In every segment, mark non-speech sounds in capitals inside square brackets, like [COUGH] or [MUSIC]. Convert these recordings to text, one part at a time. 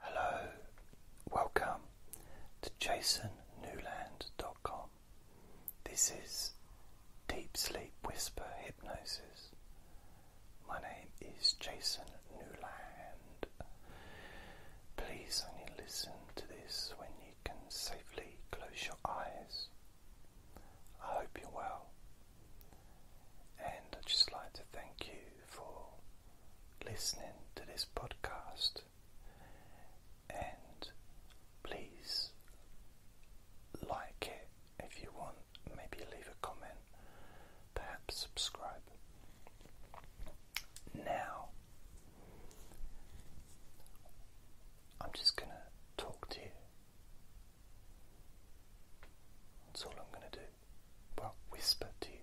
Hello, welcome to jasonnewland.com. This is Deep Sleep Whisper Hypnosis. My name is Jason Newland. Please only listen to this when you can safely close your eyes. I hope you're well, and I'd just like to thank you for listening to this podcast. And please like it if you want, maybe leave a comment, perhaps subscribe. Now, I'm just going to talk to you. That's all I'm going to do. Well, whisper to you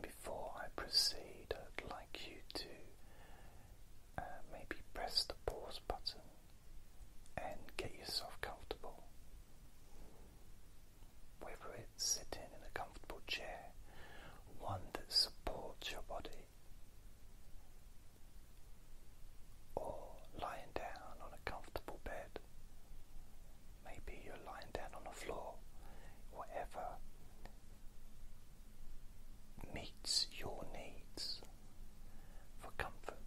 before I proceed, I'd like you to uh, maybe press the pause button and get yourself comfortable. Whether it's sitting in a comfortable chair, one that supports your body, or lying down on a comfortable bed. Maybe you're lying down on the floor, whatever meets your needs for comfort.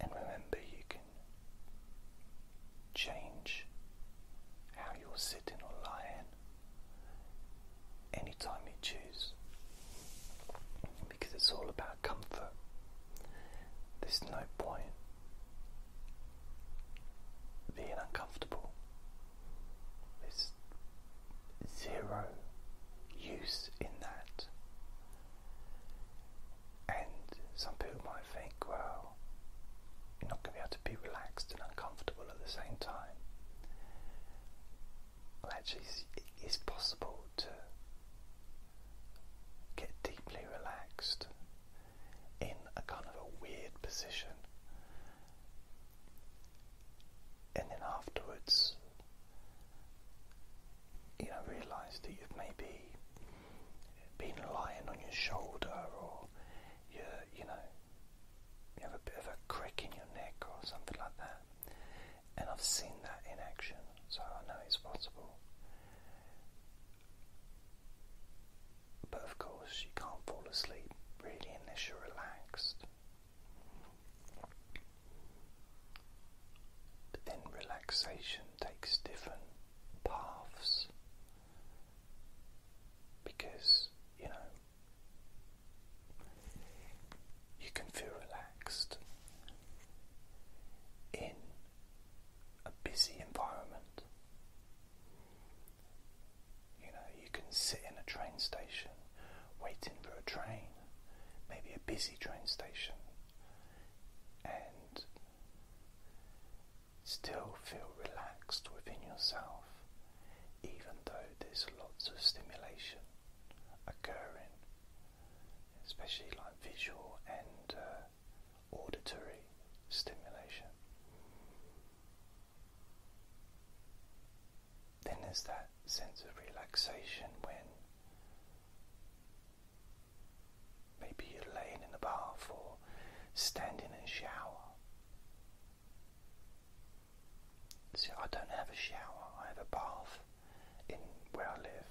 And remember, you can change how you're sitting or lying anytime you choose because it's all about comfort. There's no point being uncomfortable. There's zero use in that. And some people might think, well, you're not going to be able to be relaxed and uncomfortable at the same time well, it's, possible to get deeply relaxed in a kind of a weird position, and then afterwards, you know, realize that you've maybe been lying on your shoulder, or you, you know, you have a bit of a crack in your neck, or something like that. And I've seen that in action, so I know it's possible. But of course, you can't fall asleep really unless you're relaxed. But then relaxation takes different paths because, you know, you can feel relaxed in a busy environment. You know, you can sit in a train station waiting for a train, maybe a busy train station, and still feel relaxed within yourself, even though there's lots of stimulation occurring, especially like visual and uh, auditory stimulation. Then there's that sense of relaxation when maybe you're laying in the bath or standing in a shower. See, I don't have a shower, I have a bath in where I live.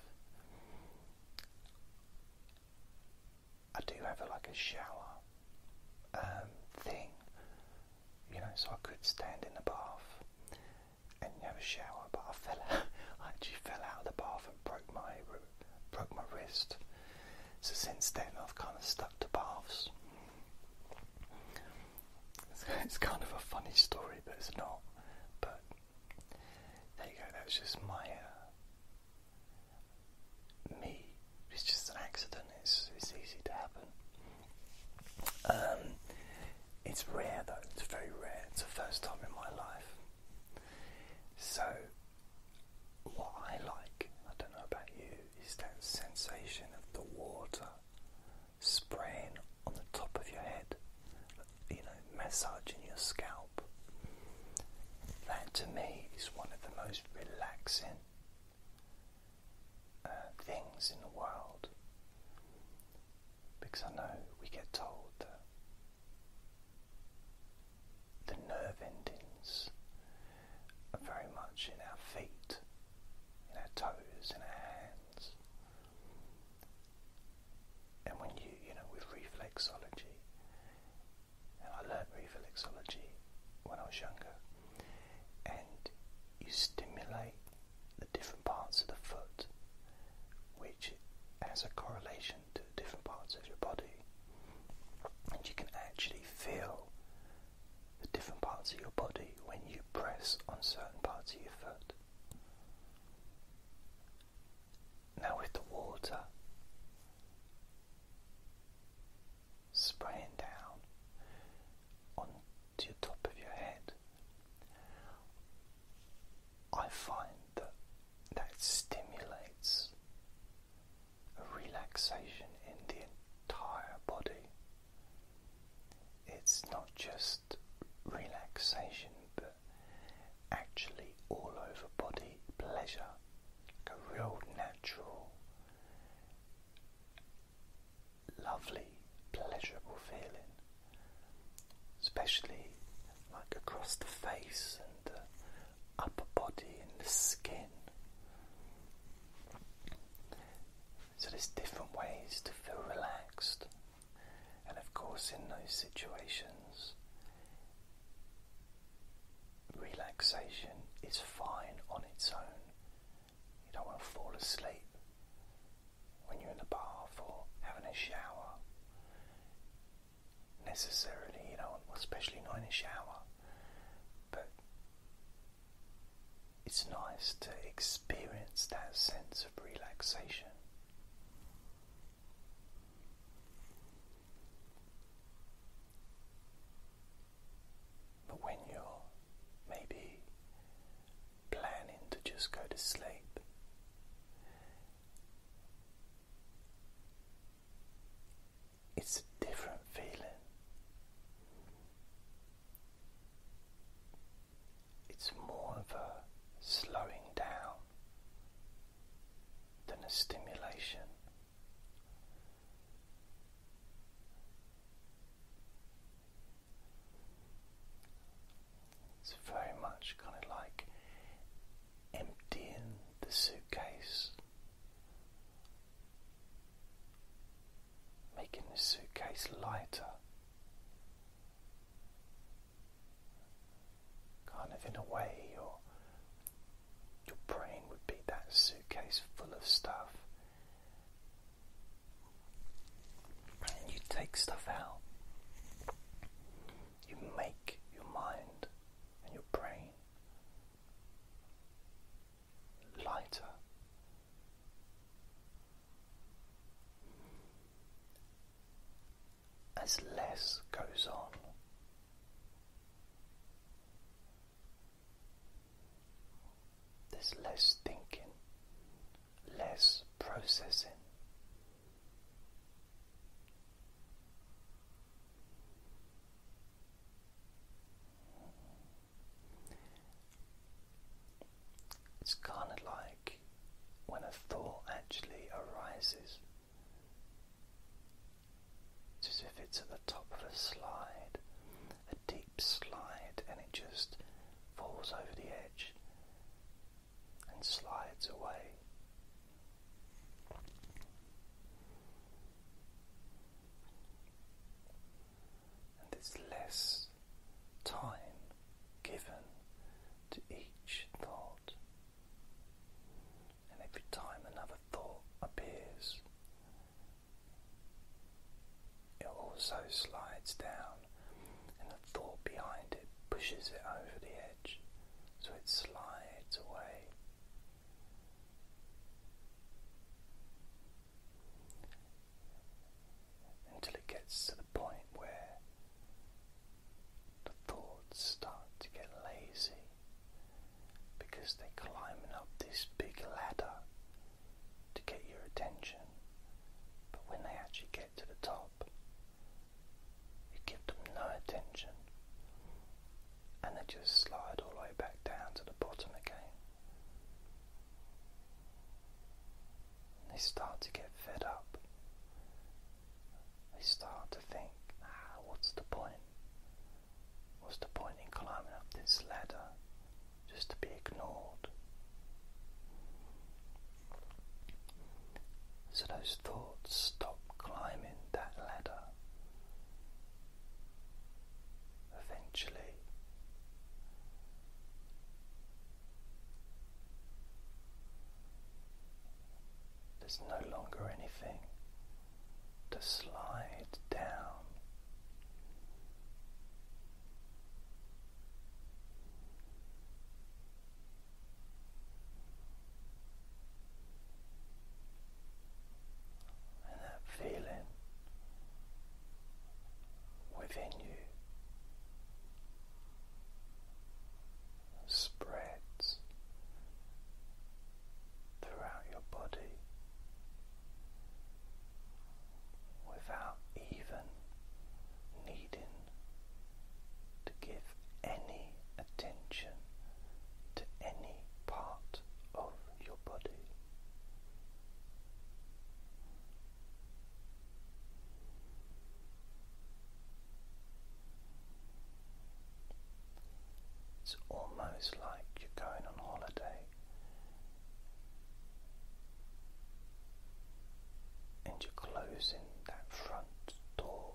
I do have a, like a shower um, thing, you know, so I could stand in the bath and have a shower, but I fell, [LAUGHS] I actually fell out of the bath and broke my broke my wrist. So since then, I've kind of stuck to baths. It's kind of a funny story, but it's not. But there you go. That was just my uh, me. It's just an accident. It's it's easy to happen. Um, it's rare though. It's very rare. It's the first time in my life. So what I like, I don't know about you, is that sensation of the water spraying on the top of your head, you know, massaging your scalp. That to me is one of the most relaxing uh, things in the world because I know we get told that the nerve endings are very much in our feet in our toes, and our hands. And when you, you know, with reflexology, and I learned reflexology when I was younger, and you stimulate the different parts of the foot, which has a correlation to different parts of your body, and you can actually feel the different parts of your body when you press on certain parts of your foot. Now, with the water spraying down onto the top of your head, I find that that stimulates a relaxation in the entire body. It's not just relaxation, but actually all over body pleasure, like a real natural, lovely, pleasurable feeling, especially like across the face and upper body and the skin. So there's different ways to feel relaxed, and of course, in those situations, relaxation is fine on its own. You don't want to fall asleep when you're in the bath or having a shower. Necessarily, you don't, especially not in a shower. But it's nice to experience that sense of relaxation. But when you're maybe planning to just go to sleep, it's a different feeling. It's more of a slowing down than a stimulation. It's very much kind of like emptying the suitcase making the suitcase lighter, kind of in a way your your brain would be that suitcase full of stuff, you take stuff out. You make your mind and your brain lighter. As less goes on, there's less thinking, less processing. It's kind of like when a thought actually arises. It's as if it's at the top of a slide, a deep slide, and it just falls over the edge and slides away and there's less time given to each thought. And every time another thought appears, it also slides down, and the thought behind it pushes it over the edge so it slides away until it gets to the point where the thoughts start to get lazy because they're climbing up this big ladder to get your attention. But when they actually get to the top, you give them no attention and they just slide all the way back down to the bottom again. They start to get fed up. They start to think, ah, what's the point? What's the point in climbing up this ladder just to be ignored? So those thoughts stop climbing that ladder eventually. There's no longer anything to slide down and that feeling within you spreads throughout your body without even needing to give any attention to any part of your body. It's almost like you're going on holiday and you're closing that front door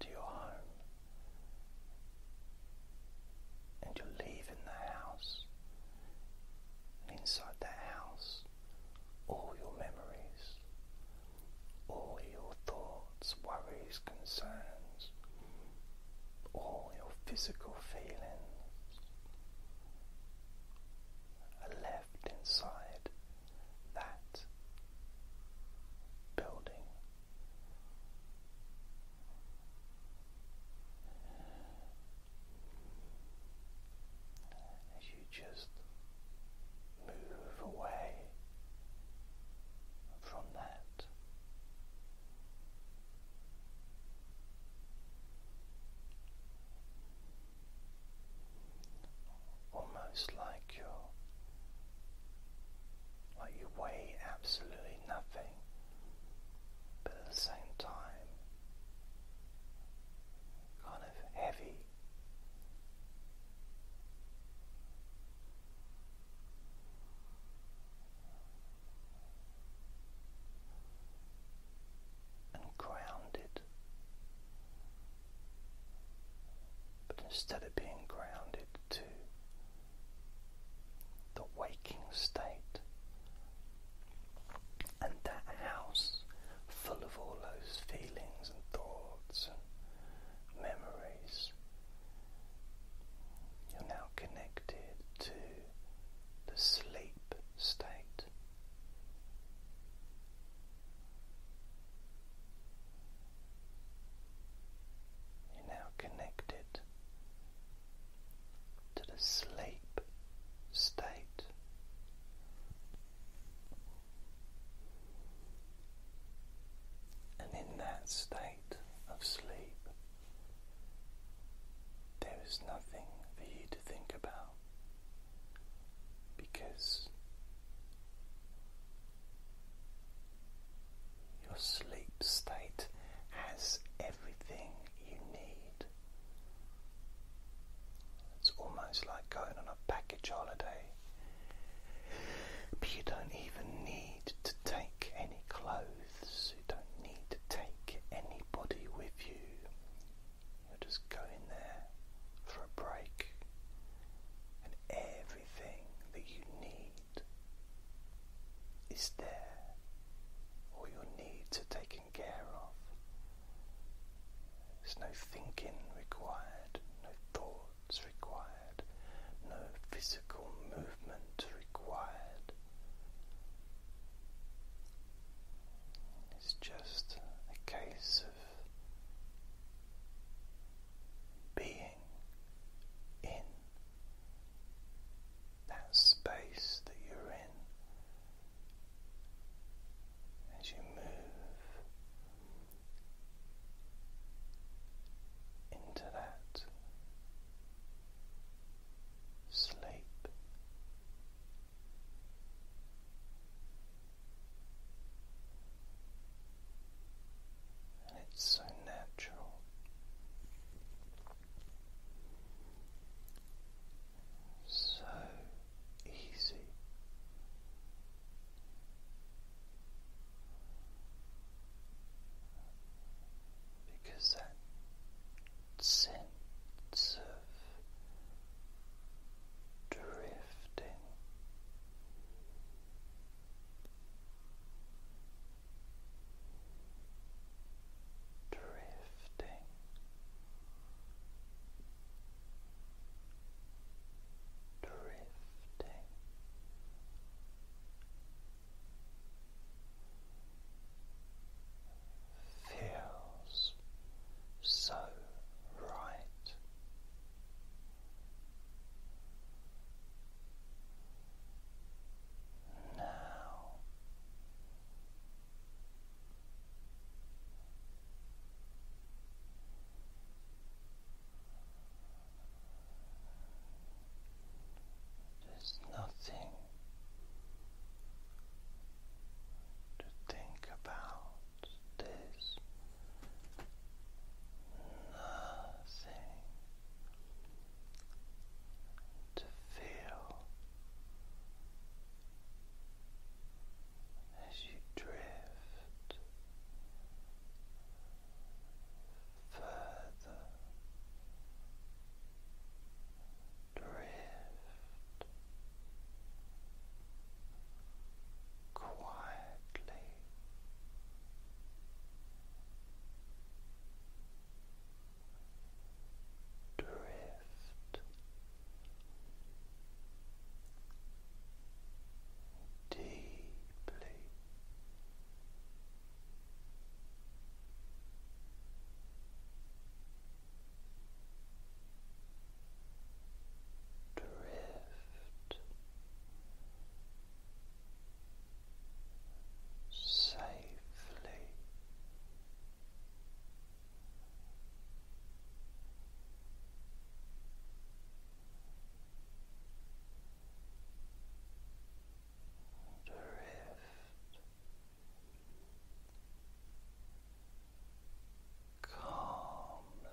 to your home and you're leaving the house. And inside that house, all your memories, all your thoughts, worries, concerns, all your physical feelings are left inside that building you just move away from that. Almost like you like you weigh absolutely nothing but at the same time kind of heavy. And grounded, but instead of being grounded to the waking state. And that house, full of all those feelings and thoughts and memories, you're now connected to the sleep state. You're now connected to the sleep state. And in that state of sleep, there is nothing for you to think about because your sleep state has everything you need. It's almost like going on a package holiday, but you don't even need to take any clothes, you don't need to take anybody with you. You're just going there for a break, and everything that you need is there or your needs are taken care of. There's no thinking required, no thoughts required, no physical movement required. It's just a case of being in that space that you're in as you move into that sleep. And it's so natural so easy. Because that sense of drifting drifting drifting feels so right now there's nothing to think about this nothing to feel as you drift further. Drift quietly drift deeply drift safely. Drift calmly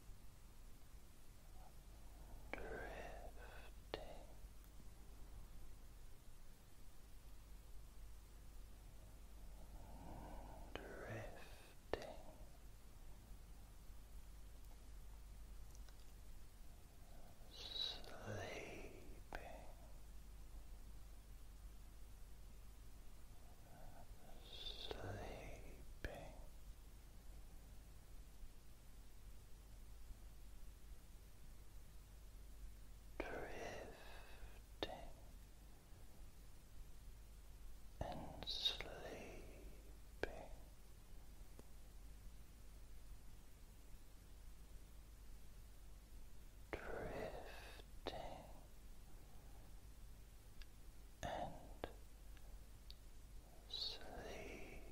drifting drifting sleeping Sleeping, drifting and sleeping. Drifting and sleeping.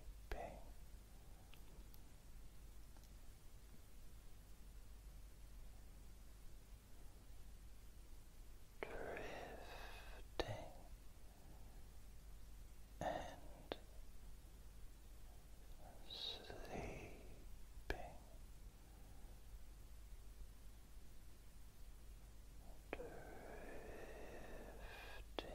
Drifting and sleeping drifting and sleeping. Drifting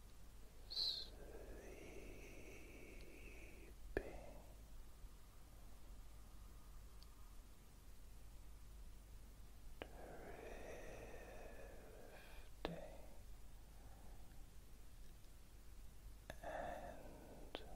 sleeping. Drifting and sleeping